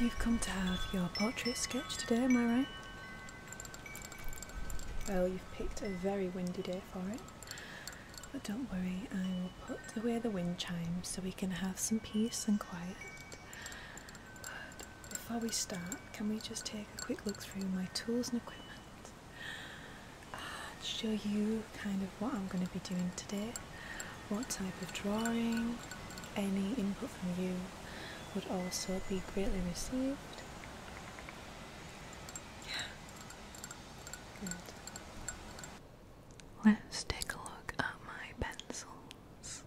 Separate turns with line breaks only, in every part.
You've come to have your portrait sketched today, am I right? Well, you've picked a very windy day for it, but don't worry, I will put away the wind chimes so we can have some peace and quiet. But before we start, can we just take a quick look through my tools and equipment? And show you kind of what I'm going to be doing today, what type of drawing, any input from you would also be greatly received.
Yeah. Let's take a look at my pencils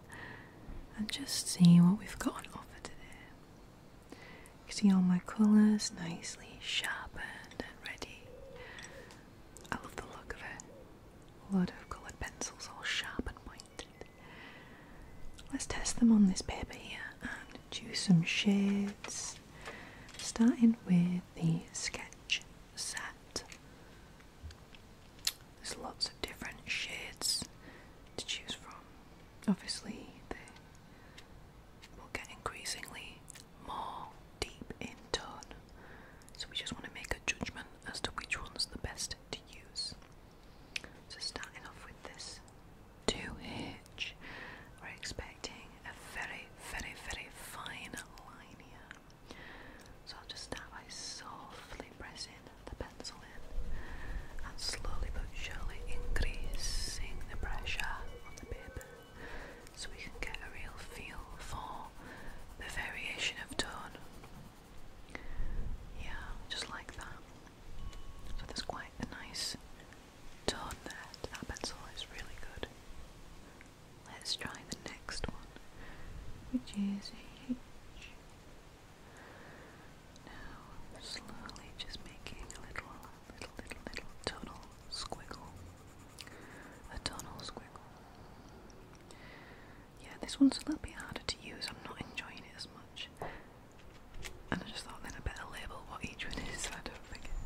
and just see what we've got on offer today. You can see all my colours nicely sharpened and ready. I love the look of it. A lot of coloured pencils all sharpened. and pointy. Let's test them on this paper here and choose some shades, starting with the sketch set. There's lots of different shades to choose from. Obviously, they will get increasingly more deep in tone, so we just want to make a judgment as to which one's the best to use. So starting off with this 2H, we're expecting a very, very, very fine line here. So I'll just start by softly pressing the pencil in and slowly but surely increasing the pressure on the paper so we can get a real feel for the variation of tone yeah, just like that. So there's quite a nice tone there to that pencil, it's really good. Let's try the next one, which is H. Now, slowly just making a little, little, little, little tonal squiggle. A tonal squiggle yeah, this one's a little bit harder to use. I'm not enjoying it as much. And I just thought then I better label what each one is I don't forget.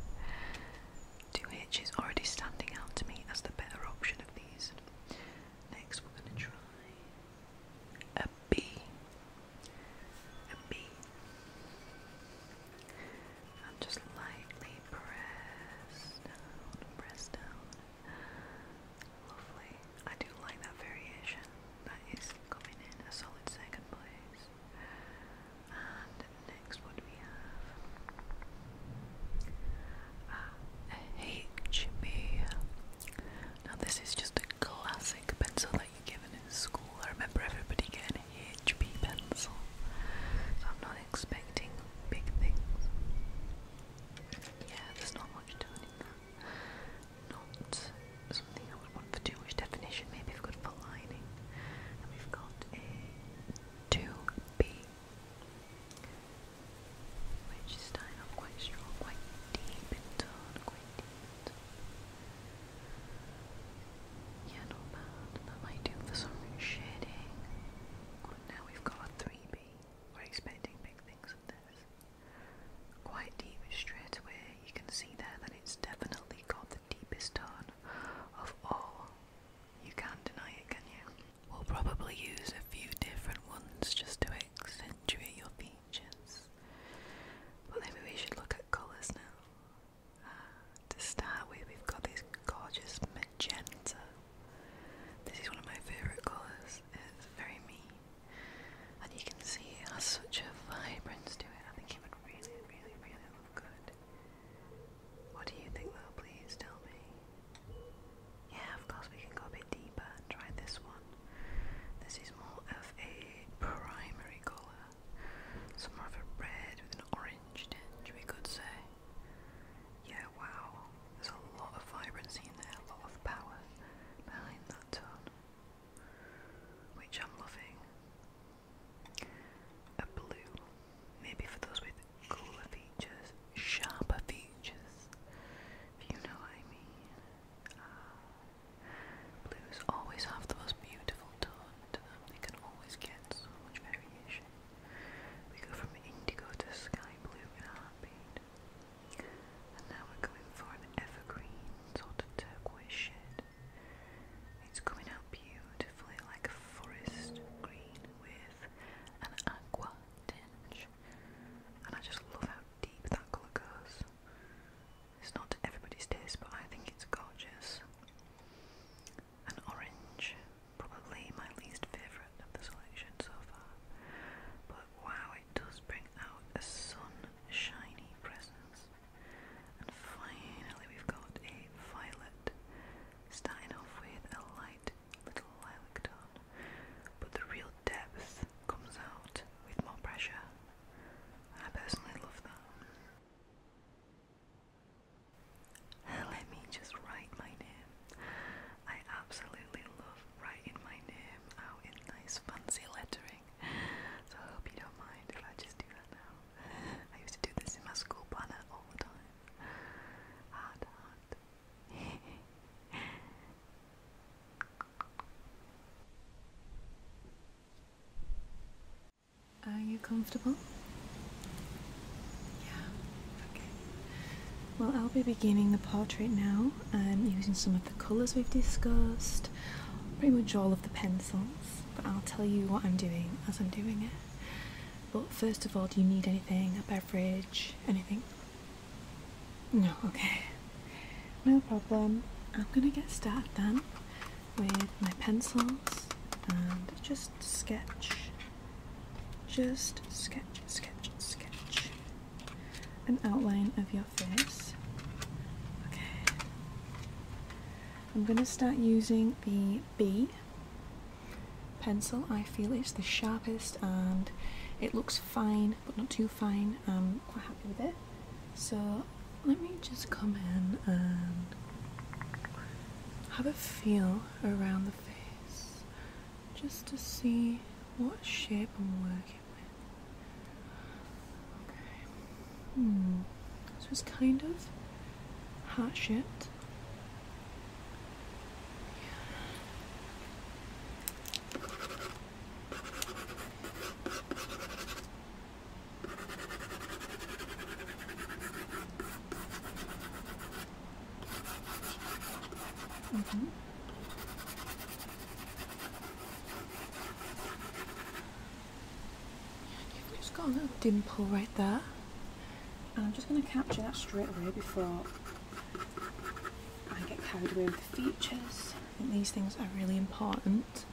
2H already standing out to me as the better option of these. Next, we're going to try a B. A B. And just lightly press press down. Lovely. I do like that variation. That is coming in a solid second place. And next, what we have? A ah, HB. Now, this is just a classic pencil that you're given in school. I remember everybody getting HB pencil. I'm not expecting big things yeah, there's not much to Not something I would want for too much definition. Maybe we've got a lining, we've got a 2B, which is starting off quite strong, quite deep quite deep Yeah, not bad. That might do for some shading. now we've got a 3B. We're expecting big things of this. Quite deep straight away, you can see there that it's definitely got the deepest tone of all. You can't deny it, can you? We'll probably use a few different ones just to accentuate your features. But maybe we should look at colours now. Uh, to start with, we've got this gorgeous magenta. This is one of my favourite colours, it's very me. And you can see it has such a vibrance to it. I think it would really, really, really look good. What do you think though, please tell me? Yeah, of course we can go a bit deeper and try this one. This is more of a primary colour. Some more of a red with an orange tinge, we could say. Yeah, wow. There's a lot of vibrancy in there, a lot of power behind that tone, which I'm loving. A blue, maybe for those with cooler features, sharper features, if you know what I mean. Ah, blues always have the most beautiful tone to them, they can always get so much variation. We go from indigo to sky blue in a heartbeat. And now we're going for an evergreen sort of turquoise shade. It's coming out beautifully like a forest green with an aqua tinge. And I just love how deep that colour goes. It's not everybody's taste, but I think it's gorgeous. An orange, probably my least favourite of the selection so far. But wow, it does bring out a sunshiny presence. And finally, we've got a violet, starting off with a light little lilac tone. But the real depth comes out with more pressure. I personally love that. Let me just write my name. I absolutely love writing my name out in nice fancy lettering. So I hope you don't mind if I just do that now. I used to do this in my school planner all the time. Hard, hard.
Are you comfortable? Yeah, okay. Well, I'll be beginning the portrait now. I'm using some of the colours we've discussed, pretty much all of the pencils, but I'll tell you what I'm doing as I'm doing it. But first of all, do you need anything? A beverage? Anything? No, okay. No problem. I'm gonna get started then with my pencils and just sketch, just sketch, sketch, sketch an outline of your face. Okay, I'm going to start using the B pencil. I feel it's the sharpest and it looks fine but not too fine. I'm quite happy with it. So let me just come in and have a feel around the face just to see what shape I'm working with. Okay. Hmm. So it's kind of heart shaped. Mm-hmm. you've just got a little dimple right there and I'm just going to capture that straight away before I get carried away with the features I think these things are really important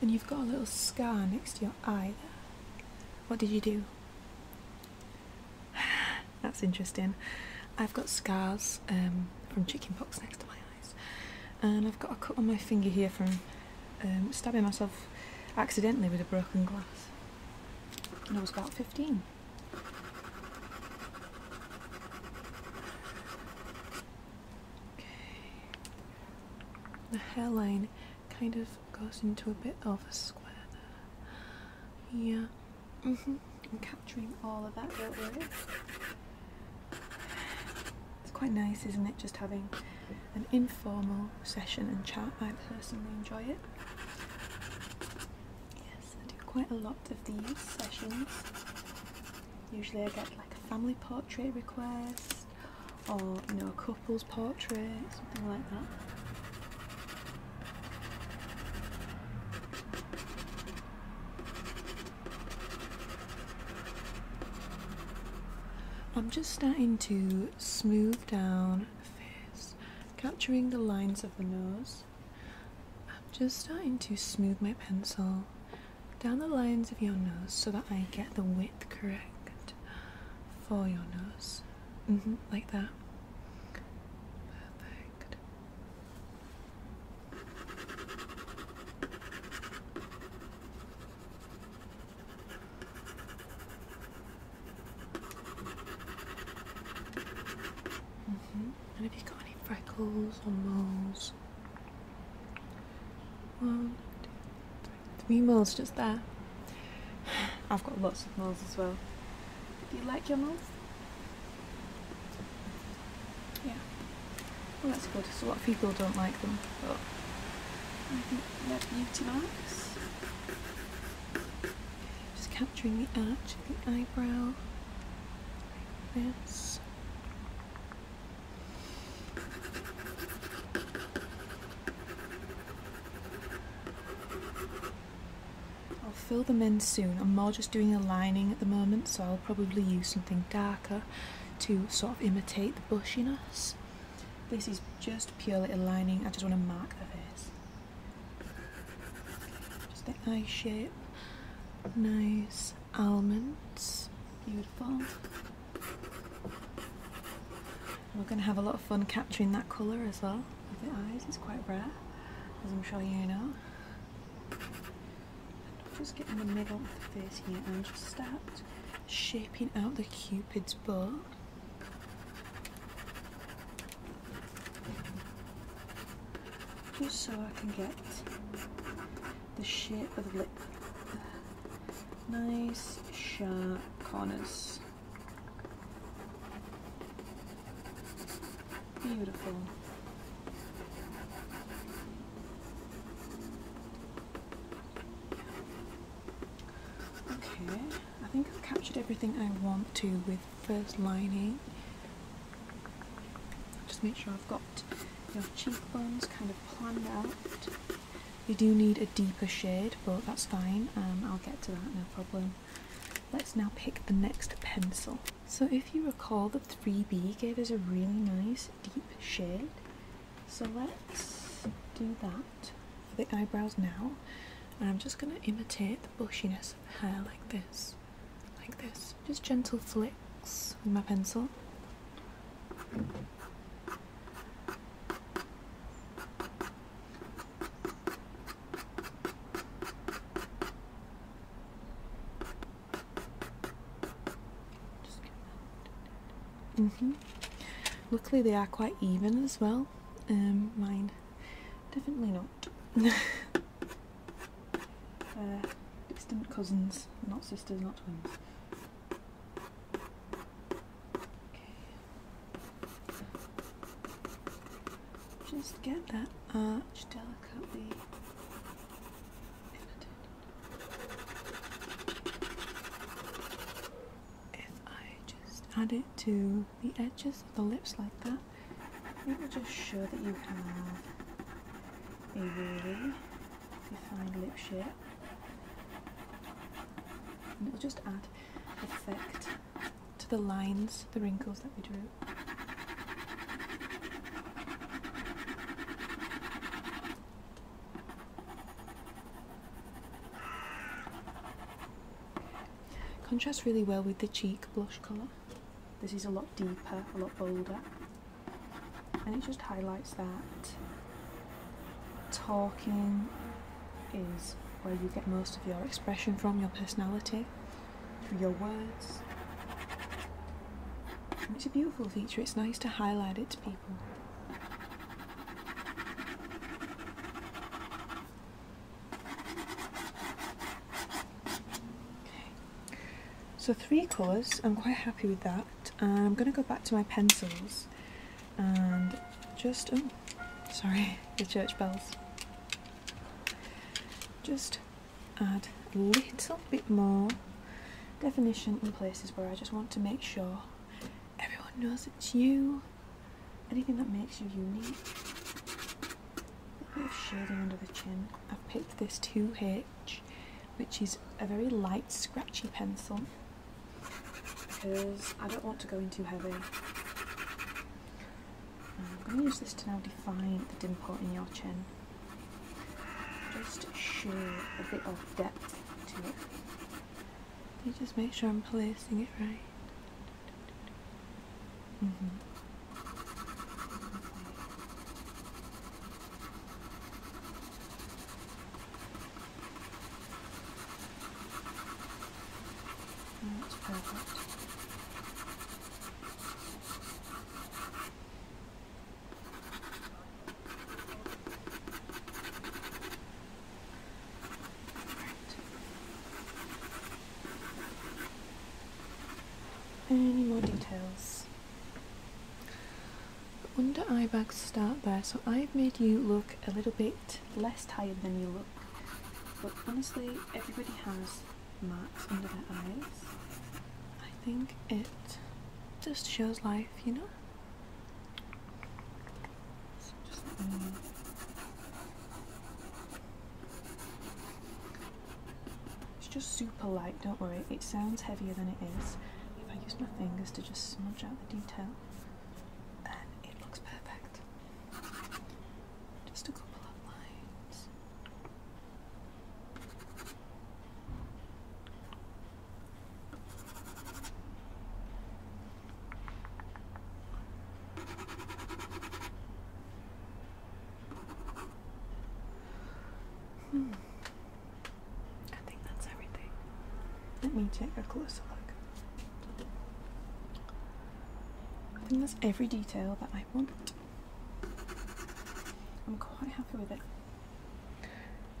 and you've got a little scar next to your eye there. What did you do? That's interesting. I've got scars um, from chickenpox next to my eyes, and I've got a cut on my finger here from um, stabbing myself accidentally with a broken glass. And I was about 15. Okay. The hairline kind of goes into a bit of a square there. Yeah. hmm capturing all of that, It's quite nice, isn't it, just having an informal session and chat. I personally enjoy it. Yes, I do quite a lot of these sessions. Usually I get like a family portrait request or you know a couple's portrait, something like that. I'm just starting to smooth down the face, capturing the lines of the nose. I'm just starting to smooth my pencil down the lines of your nose so that I get the width correct for your nose. Mm-hmm, like that. Perfect. -hmm. And have you got any freckles or moles? One, two, three, three moles just there. I've got lots of moles as well. Do you like your moles? Yeah. Well, that's good. So a lot of people don't like them, but I think they're beauty marks. Just capturing the arch of the eyebrow. Like this. I'll fill them in soon. I'm more just doing a lining at the moment, so I'll probably use something darker to sort of imitate the bushiness. This is just purely a lining, I just want to mark the face. Just the eye shape, nice almonds. Beautiful. We're going to have a lot of fun capturing that colour as well the eyes. is quite rare, as I'm sure you know. Just get in the middle of the face here and just start shaping out the cupid's bow. Just so I can get the shape of lip. Nice sharp corners. Beautiful. Okay, I think I've captured everything I want to with first lining. Just make sure I've got your cheekbones kind of planned out. You do need a deeper shade, but that's fine. Um, I'll get to that, no problem. Let's now pick the next pencil. So if you recall, the 3B gave us a really nice deep shade. So let's do that for the eyebrows now. And I'm just going to imitate the bushiness of hair like this like this, just gentle flicks with my pencil. hmm Luckily, they are quite even as well. Um, mine definitely not. Uh, distant cousins, not sisters, not twins. Okay. Just get that arch delicately. If I just add it to the edges of the lips like that, it will just show that you have a really defined lip shape and it'll just add effect to the lines, the wrinkles that we drew. Contrasts really well with the cheek blush colour. This is a lot deeper, a lot bolder. And it just highlights that talking is where you get most of your expression from, your personality, through your words. it's a beautiful feature, it's nice to highlight it to people. So three colours, I'm quite happy with that. I'm going to go back to my pencils and just, oh, sorry, the church bells. Just add a little bit more definition in places where I just want to make sure everyone knows it's you. Anything that makes you unique shading under the chin. I've picked this 2H, which is a very light, scratchy pencil because I don't want to go in too heavy. I'm going to use this to now define the dimple in your chin. Just show a bit of depth to it. You just make sure I'm placing it right. Mm -hmm. perfect. Any more details? Under eye bags start there, so I've made you look a little bit less tired than you look. But honestly, everybody has marks under their eyes. I think it just shows life, you know? So just it's just super light, don't worry. It sounds heavier than it is. If I use my fingers to just smudge out the detail, then it looks perfect. Just a couple of lines.
Hmm. I think that's everything. Let me
take a closer look. I think that's every detail that I want. I'm quite happy with it.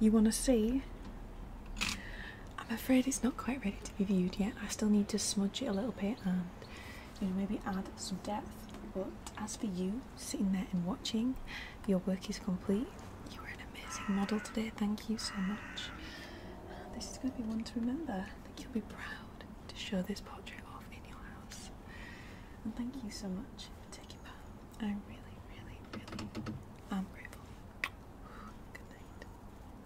You want to see I'm afraid it's not quite ready to be viewed yet. I still need to smudge it a little bit and you know maybe add some depth. But as for you sitting there and watching, your work is complete. You were an amazing model today. Thank you so much. This is going to be one to remember. I think you'll be proud to show this portrait off in your house. And thank you so much for
taking part. I really, really, really am grateful. Good night.